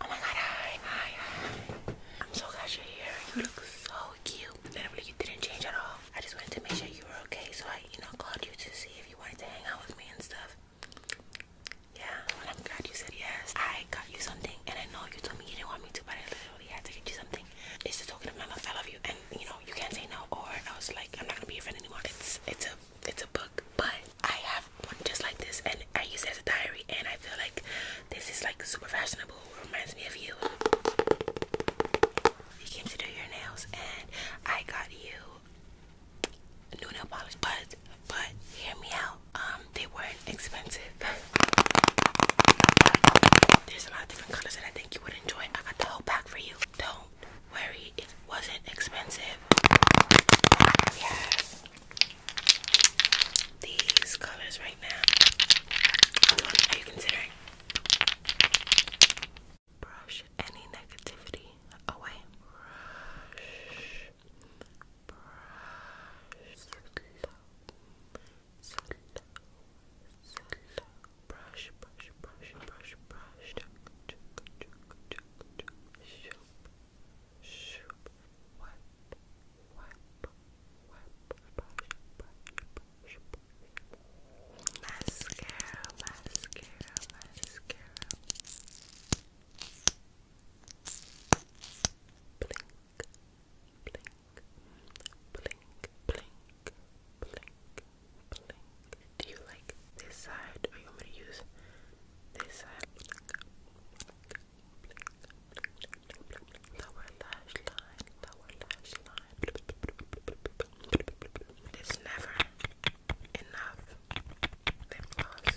Oh my god, hi, hi, hi. I'm so glad you're here. You look so cute. Literally, you didn't change at all. I just wanted to make sure you were okay, so I, you know, called you to see if you wanted to hang out with me and stuff. Yeah, well, I'm glad you said yes. I got you something, and I know you told me you didn't want me to, but I literally had to get you something. It's the token of my love. I love you, and you know, you can't say no. Or I was like, I'm not gonna be your friend anymore. It's, it's a, it's a book. But I have one just like this, and I use it as a diary, and I feel like this is like super fashionable. Reminds me of you. You came to do your nails, and I got you new nail polish. But but hear me out. Um, they weren't expensive. There's a lot of different colors that I think you would enjoy. I got the whole pack for you. Don't worry, it wasn't expensive. Yes these colors right now. are you considering? Brush any negativity away. Brush. Brush. Slow. Slow. Slow. Brush, brush, brush, brush, brush. Chuck, chuck, chuck, chuck, chuck. Shoop. Shoop. Wipe wipe, Mascara, mascara, mascara. Blink, blink, blink, blink, blink, blink. Do you like this side, or you want to use this side? lower lash It is never enough lip gloss.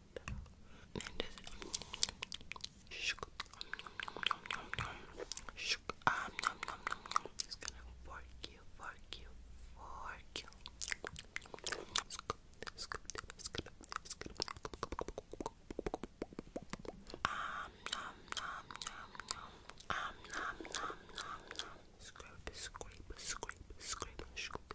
I'm It's gonna fork you, fork you, fork you. Scoop, scoop, scoop, scoop. Um, nom, nom, nom, nom. Um, nom, nom, nom, nom. Scrape, scrape, scrape, scrape, scoop,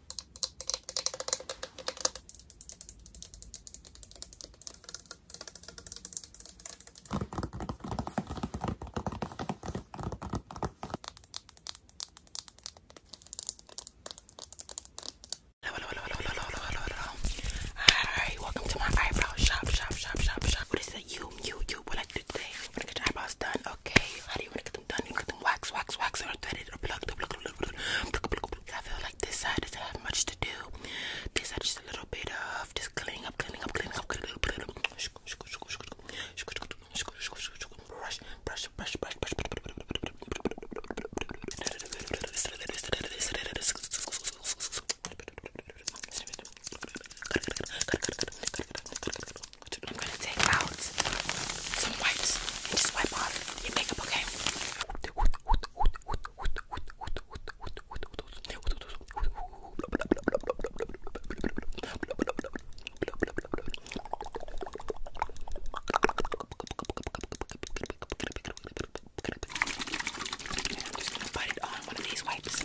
Hello, hello, hello, hello, hello, hello, hello, Hi, welcome to my eyebrow shop, shop, shop, shop, shop. What is it? You, you, you. What I do today? I'm gonna get your eyebrows done, okay? How do you wanna get them done? You get them wax, wax, wax, or threaded. I feel like this side doesn't have much to do. This side just a little bit of just cleaning up, cleaning up, cleaning up, cleaning up, cleaning up. Brush, brush, brush, brush, brush. I'm gonna take out some wipes and just wipe off your makeup, okay? I'm just gonna put it on one of these wipes.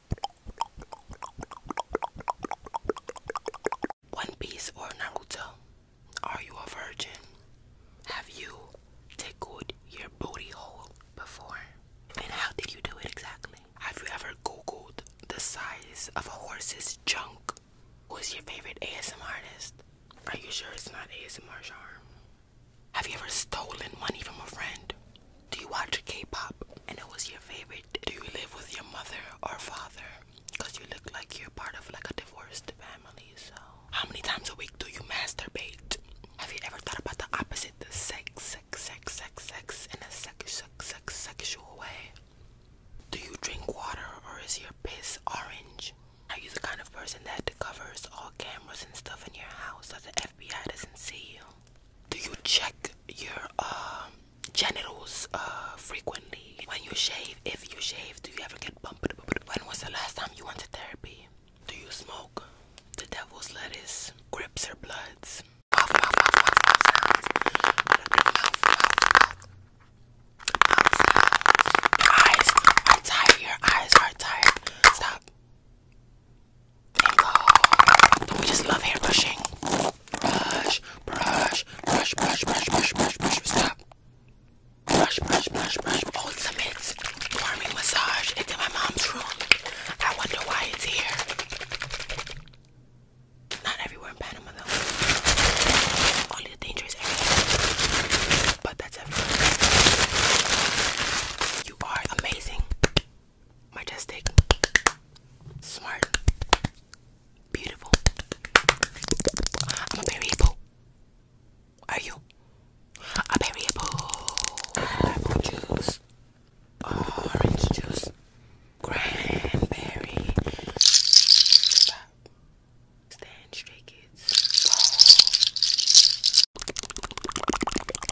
One Piece or Naruto? Are you a virgin? Have you tickled your booty hole before? And how did you do it exactly? Have you ever googled the size of a horse's junk? Who's your favorite ASMR artist? Are you sure it's not ASMR Charm? Have you ever stolen money from a friend? Do you watch K-pop and it was your favorite? Do you live with your mother or father? Cause you look like you're part of like a divorced family, so. How many times a week do you masturbate? Have you ever thought about the opposite, sex, sex, sex, sex, sex, in a sex, sex, sex, sexual way? Do you drink water or is your piss orange? Are you the kind of person that covers all cameras and stuff in your house so the FBI doesn't see you? Do you check your uh, genitals uh, frequently? When you shave, if you shave, do you ever get bumped? When was the last time you went to therapy? Do you smoke? The devil's lettuce, grips or bloods? Mouth, mouth, mouth, mouth, mouth sounds. Mouth, mouth, mouth. Mouth sounds. Your eyes are tired. Your eyes are tired. Stop. We just love hair brushing. Brush, brush, brush, brush, brush, brush, brush, brush. Stop. Brush, brush, brush, brush. Ultimate warming massage. It's in my mom's room. I wonder why it's here. Not everywhere in Panama though. Only the dangerous areas. But that's everywhere. You are amazing majestic, smart, beautiful. I'm a variable. Are you? A variable. Apple juice, orange juice, cranberry. Stop. Stand straight, kids. Roll.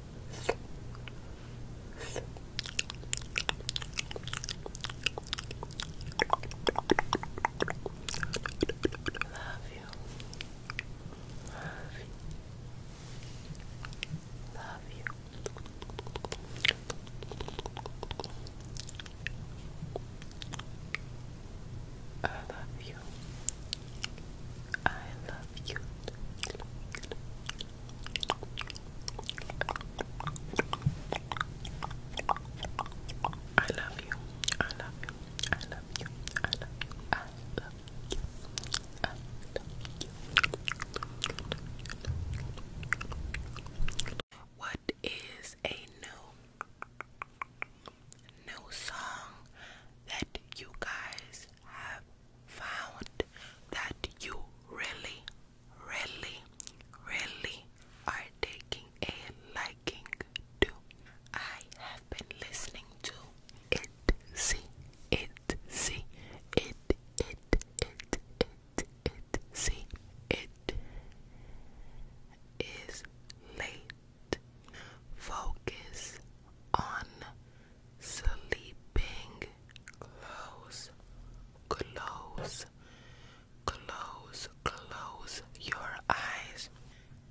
Love you. Love you. Love you. I love you. I love you. I love you. I love you. I love you. I love you. What is a new new song that you guys have found that you really, really, really are taking a liking to. I have been listening to it, see, it, see, it, it, it, it, it, it see, it is late. Focus on sleeping. Close, close, close, close your eyes.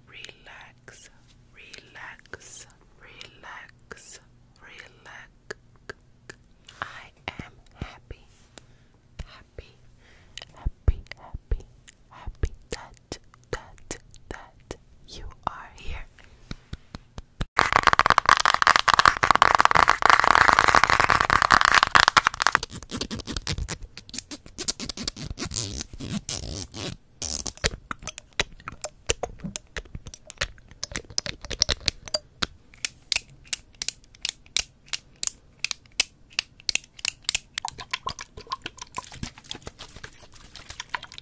Relax, relax, relax, relax. I am happy, happy, happy, happy, happy that that, that, you are here.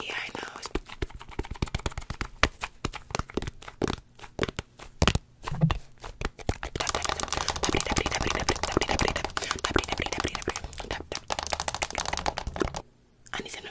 Yeah, I know. I need some new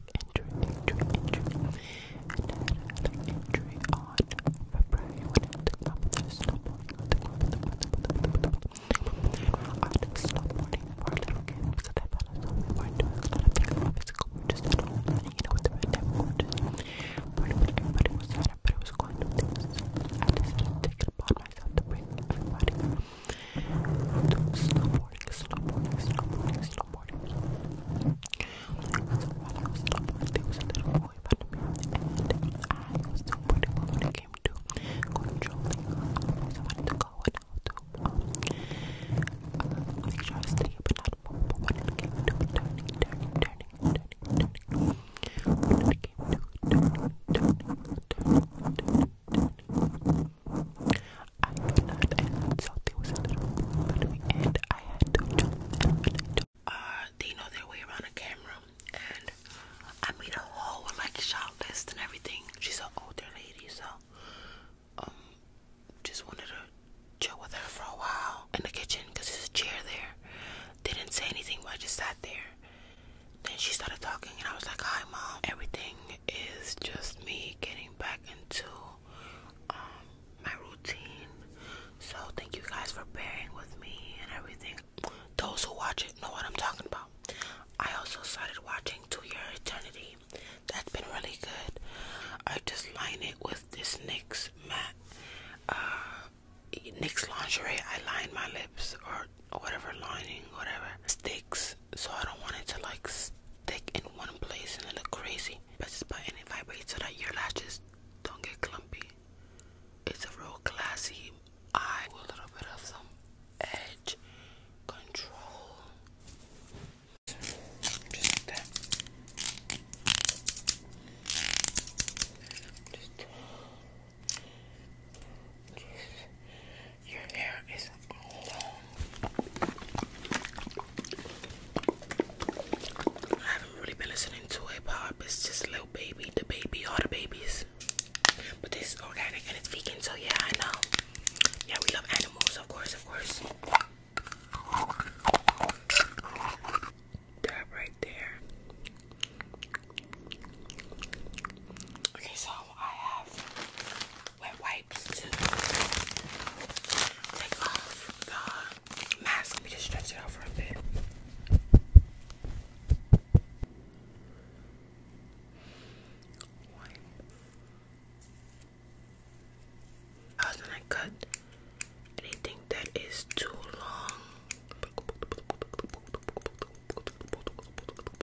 injury, injury, injury, and I had an injury on February when I took the snowboarding. I took snowboarding for a little kid because I felt as though we weren't doing a lot of things in physical, we just at home, and you know, with the pandemic, we were just, pretty much everybody was sad, but it was going to things. I decided to take it upon myself to bring everybody do snowboarding, snowboarding, snowboarding, snowboarding. There was a while I was snowboarding, there I was snowboarding but when it came to I wanted to go and how to make sure I stay but not move, but when it came to turning, turning, turning, turning, when it came to turning, turning, turning, turning, I could not and so there was a little and I had to jump I jumped they know their way around a camera and I made a whole like shot list and everything. She's an older lady so um just wanted to chill with her for a while in the kitchen because there's a chair there. didn't say anything but I just sat there. Then she started talking and I was like, Hi mom, everything is just me getting back into um, my routine. So thank you guys for bearing with me and everything. Those who watch it know what I'm talking about. I also started watching To Your Eternity. That's been really good. I just line it with this NYX matte uh NYX lingerie. I line my lips or whatever lining, whatever sticks so I don't want it to like stick in one place and look crazy. But just button any vibrate so that your lashes don't get clumpy. It's a real classy eye with a little bit of some edge control. Just like that. just, your hair is long. I haven't really been listening to hip hop. It's just little Baby, the baby, all the babies. But this is organic and it's vegan, so yeah, I know. Yeah, we love animals, of course, of course. That right there. Okay, so I have wet wipes to take off the mask. Let me just stretch it out for a bit. I was gonna cut anything that is too long.